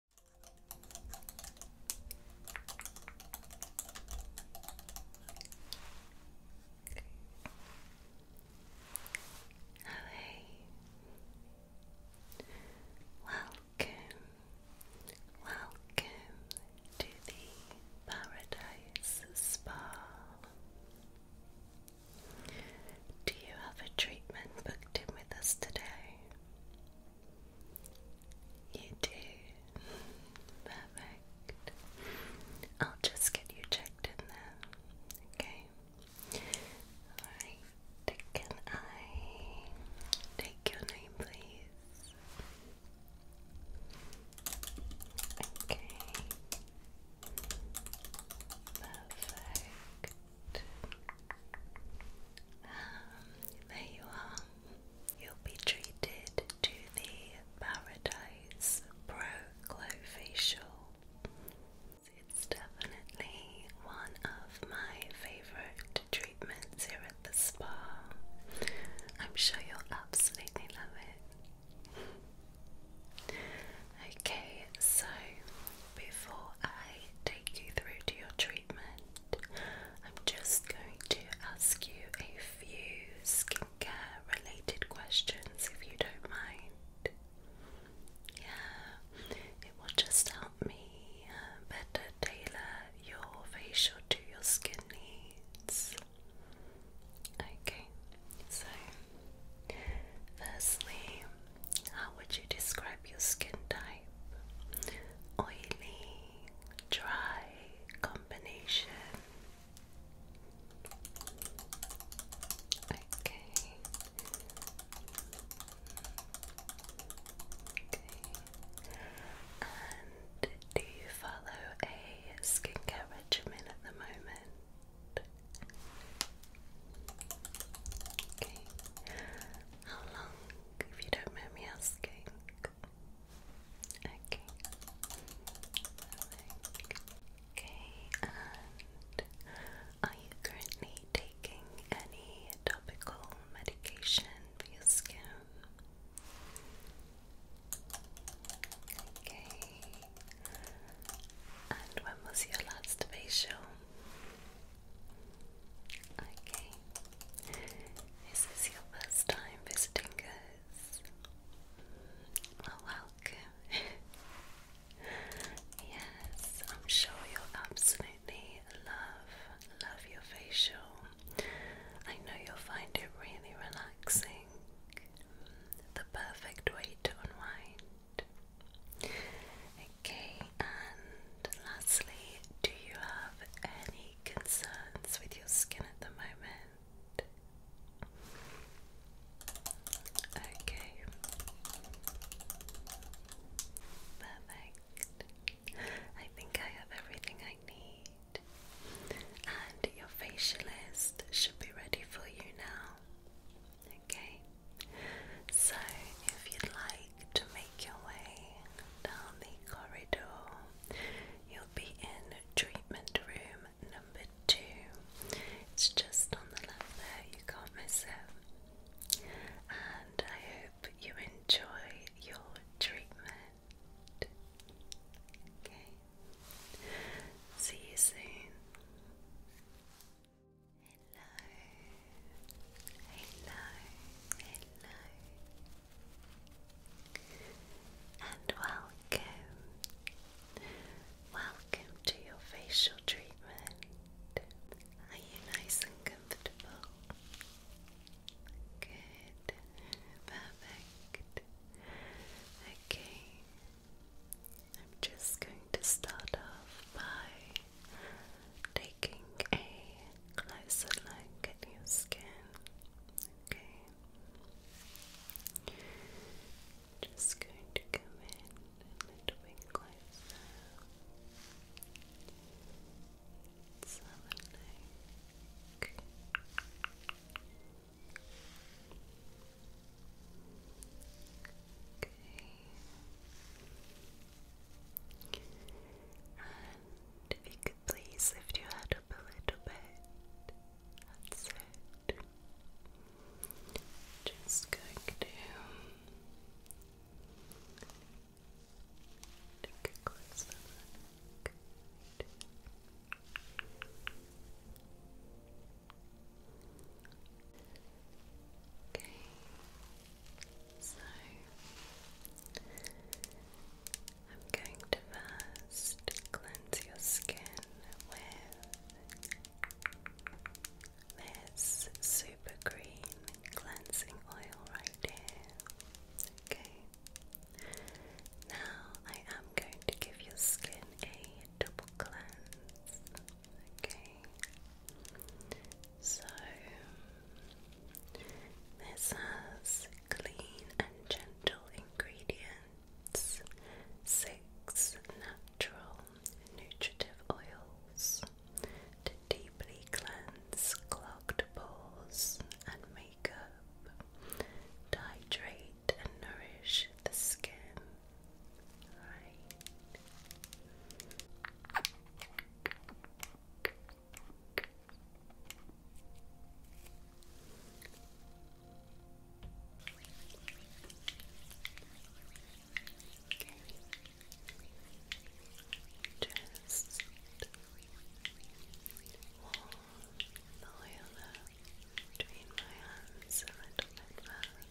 Hello. Welcome, welcome to the Paradise Spa. Do you have a treatment booked in with us today? You do. Perfect. I'll just get you checked in there. Okay. Alright. Can I take your name, please? Okay. Perfect. Um, there you are. You'll be treated to the Paradise Pro Glow Facial. It's definitely one of my favorite treatments here at the spa. I'm sure you'll absolutely love it. Okay, so before I take you through to your treatment, I'm just going to ask you a few skincare related questions if you don't mind. Yeah, it will just help me uh, better tailor your facial to your skin needs. Okay, so firstly, how would you describe your skin type? Oily, dry, combination. Okay. Okay. And do you follow a skincare regimen at the moment? Okay. How long, if you don't mind me asking? Okay. Okay, and are you currently taking any topical medication for your skin? Okay. And when was your last facial? Okay. Is your first time visiting us? Well, welcome. yes, I'm sure you'll absolutely love, love your facial. I know you'll find it really relaxing. The perfect way to unwind. Okay, and lastly, do you have any concerns with your skin at the moment? Okay. Perfect. I think I have everything I need. And your facialist should be ready for you now. Okay, so if you'd like to make your way down the corridor, you'll be in treatment room number two. It's just on the left there, you can't miss it. And I hope you enjoy your treatment. Okay, see you soon hello, hello, and welcome, welcome to your facial treatment. Are you nice and comfortable? Good, perfect. Okay, I'm just going to start off by taking a closer look at your skin. Okay. Just going to come in a little bit closer. let Okay. And if you could please lift your head up a little bit. That's it. Just going to take a closer look. Okay, so I'm going to first cleanse your skin with this super green cleansing oil right here. Okay, now I am going to give your skin a double cleanse so this has clean and gentle ingredients, six natural nutritive oils to deeply cleanse clogged pores and makeup, hydrate and nourish the skin. Right. Okay. Just roll the oil between my hands a little bit further.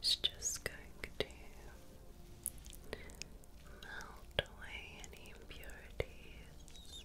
It's just going to melt away any impurities.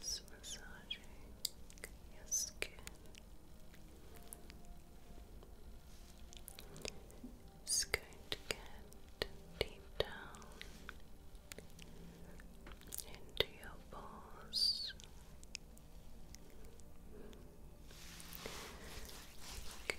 Just massaging your skin. Just going to get deep down into your pores. Okay.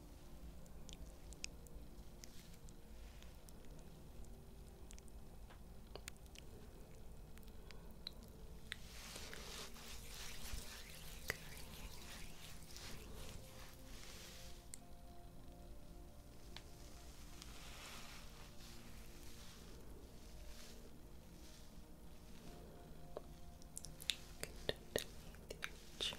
Good. Underneath your chin.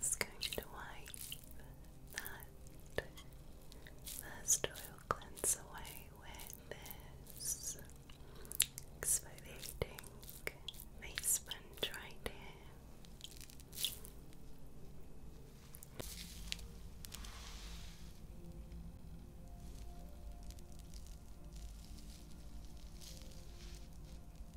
just going to wipe that first oil cleanse away with this exfoliating face sponge right here.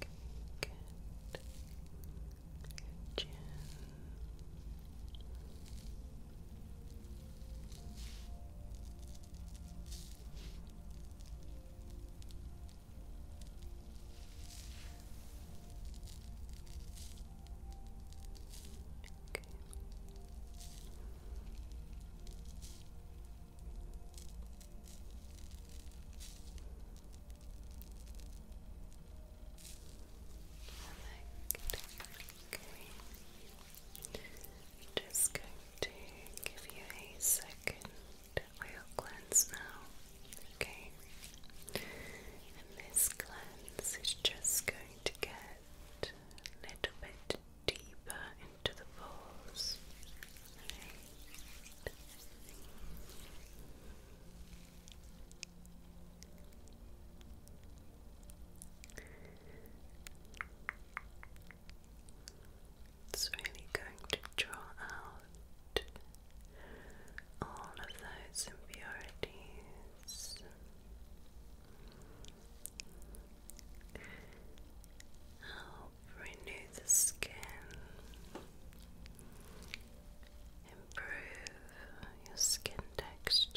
Good. Your chin. Okay. I'm just going to give you a second oil cleanse now, okay? And this cleanse is just going to get a little bit deeper into the pores. Okay. It's really going to draw out all of those impurities renew the skin, improve your skin texture.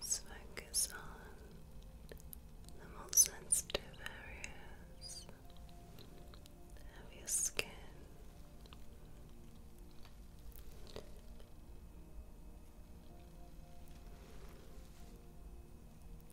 focus on the most sensitive areas of your skin.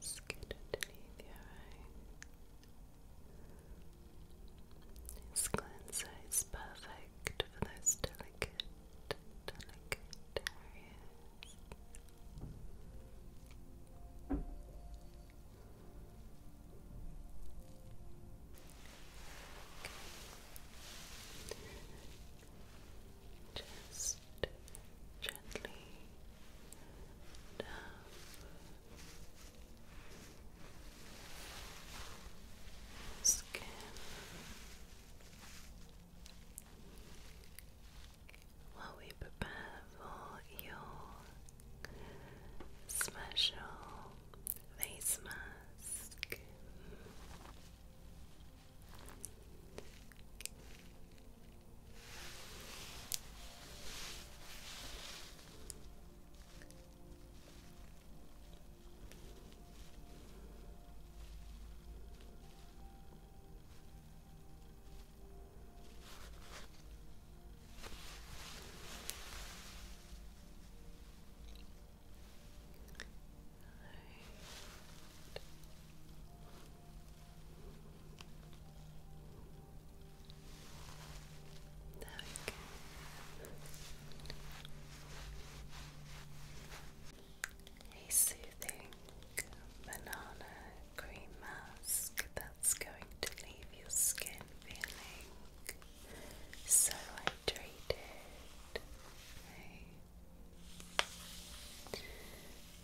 Skid underneath your eye. This cleanser is perfect for those delicate, delicate areas. Just gently down. Skin. While we prepare for your special face mask. Right. There A soothing banana cream mask that's going to leave your skin feeling so hydrated. Okay.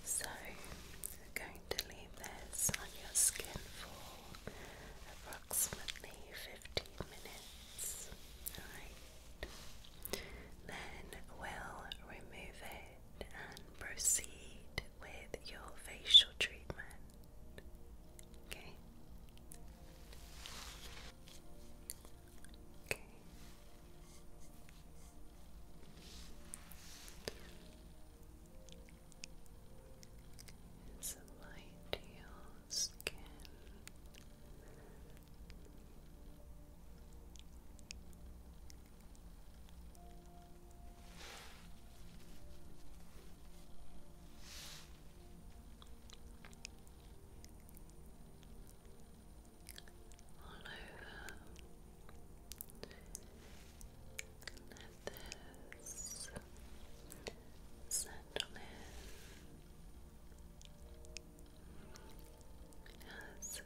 So, I'm going to leave this on your skin for approximately 15 minutes. Then we'll remove it and proceed with your facial treatment. Okay. Okay. It's a light to skin all over. Has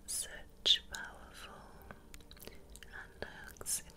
such powerful antioxidants.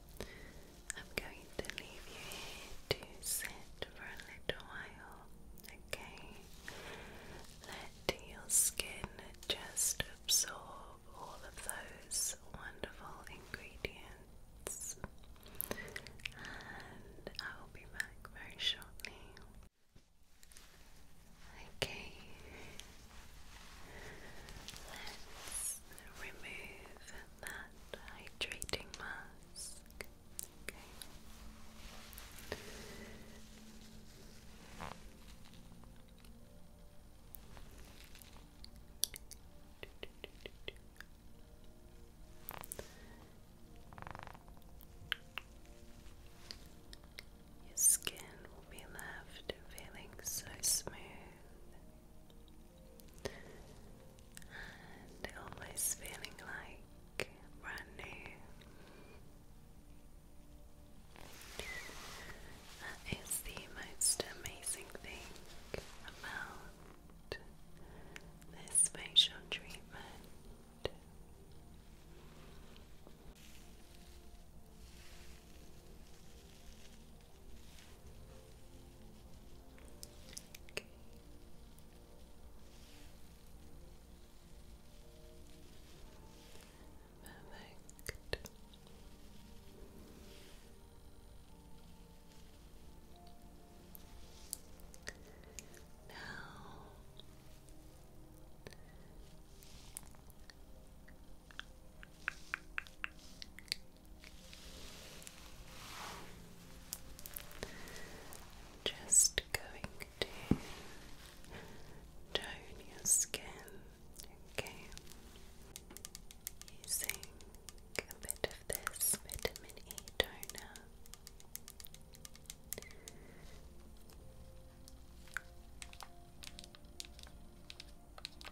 I'm going to leave you here to sit for a little while, okay? Let your skin just absorb all of those wonderful ingredients, and I'll be back very shortly. Okay, Let's remove that hydrating mask. Your skin will be left feeling so smooth and always feeling like brand new. That is the most amazing thing about this facial treatment. Okay. Perfect. Now just going to tone your skin, okay? Using a bit of this vitamin E toner.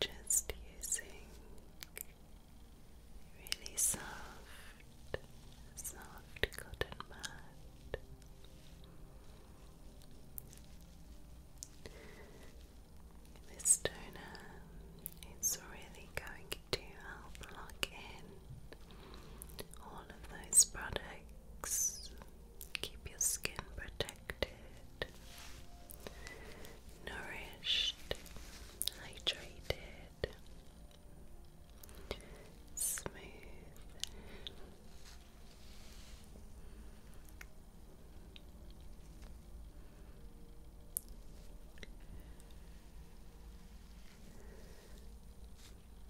Just using really soft, soft cotton mud. This toner is really going to help lock in all of those products keep your skin protected, nourished, hydrated, smooth.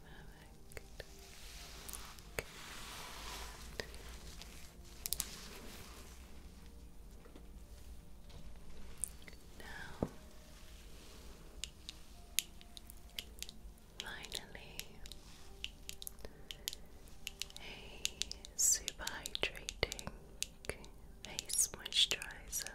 Perfect. Okay. finally, a super hydrating face moisturizer.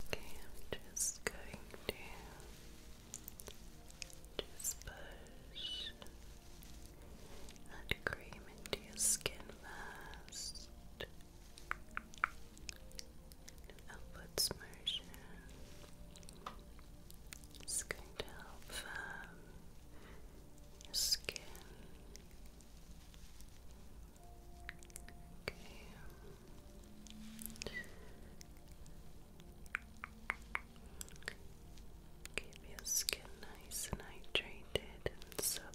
Okay, I'm just going to just push that cream into your skin first. An upwards motion. It's going to help um, your skin. Um, keep your skin nice and hydrated and supple.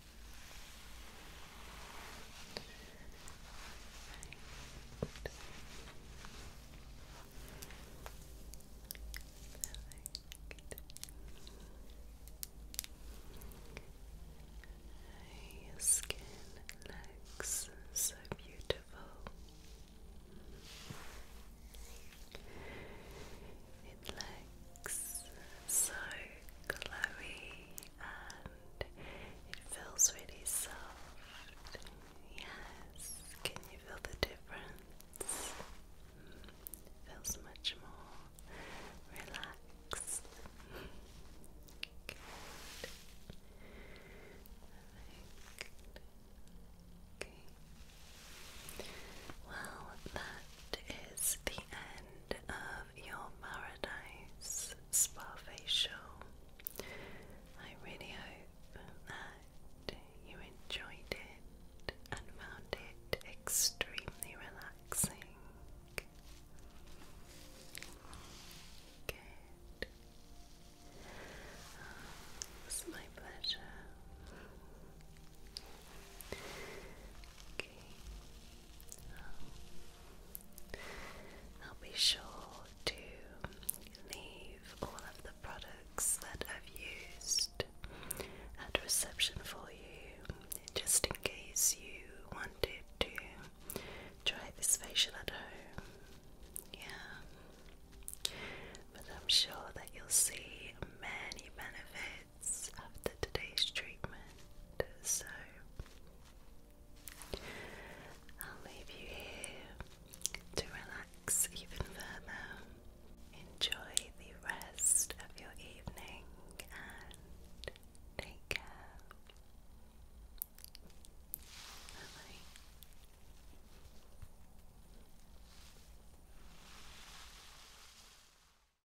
Your skin looks so beautiful. It looks so glowy it feels really soft. Yes, can you feel the difference? feels much more relaxed. Well, that is the end of your Paradise Spa Facial. I really hope that you enjoyed it and found it extremely relaxing. Good. it's my pleasure. I'll be sure to leave all of the products that I've used at reception for you, just in case you wanted to try this facial at home. Yeah. But I'm sure that you'll see many benefits minutes after today's treatment, so I'll leave you here to relax even further. Enjoy the rest of your evening and take care. bye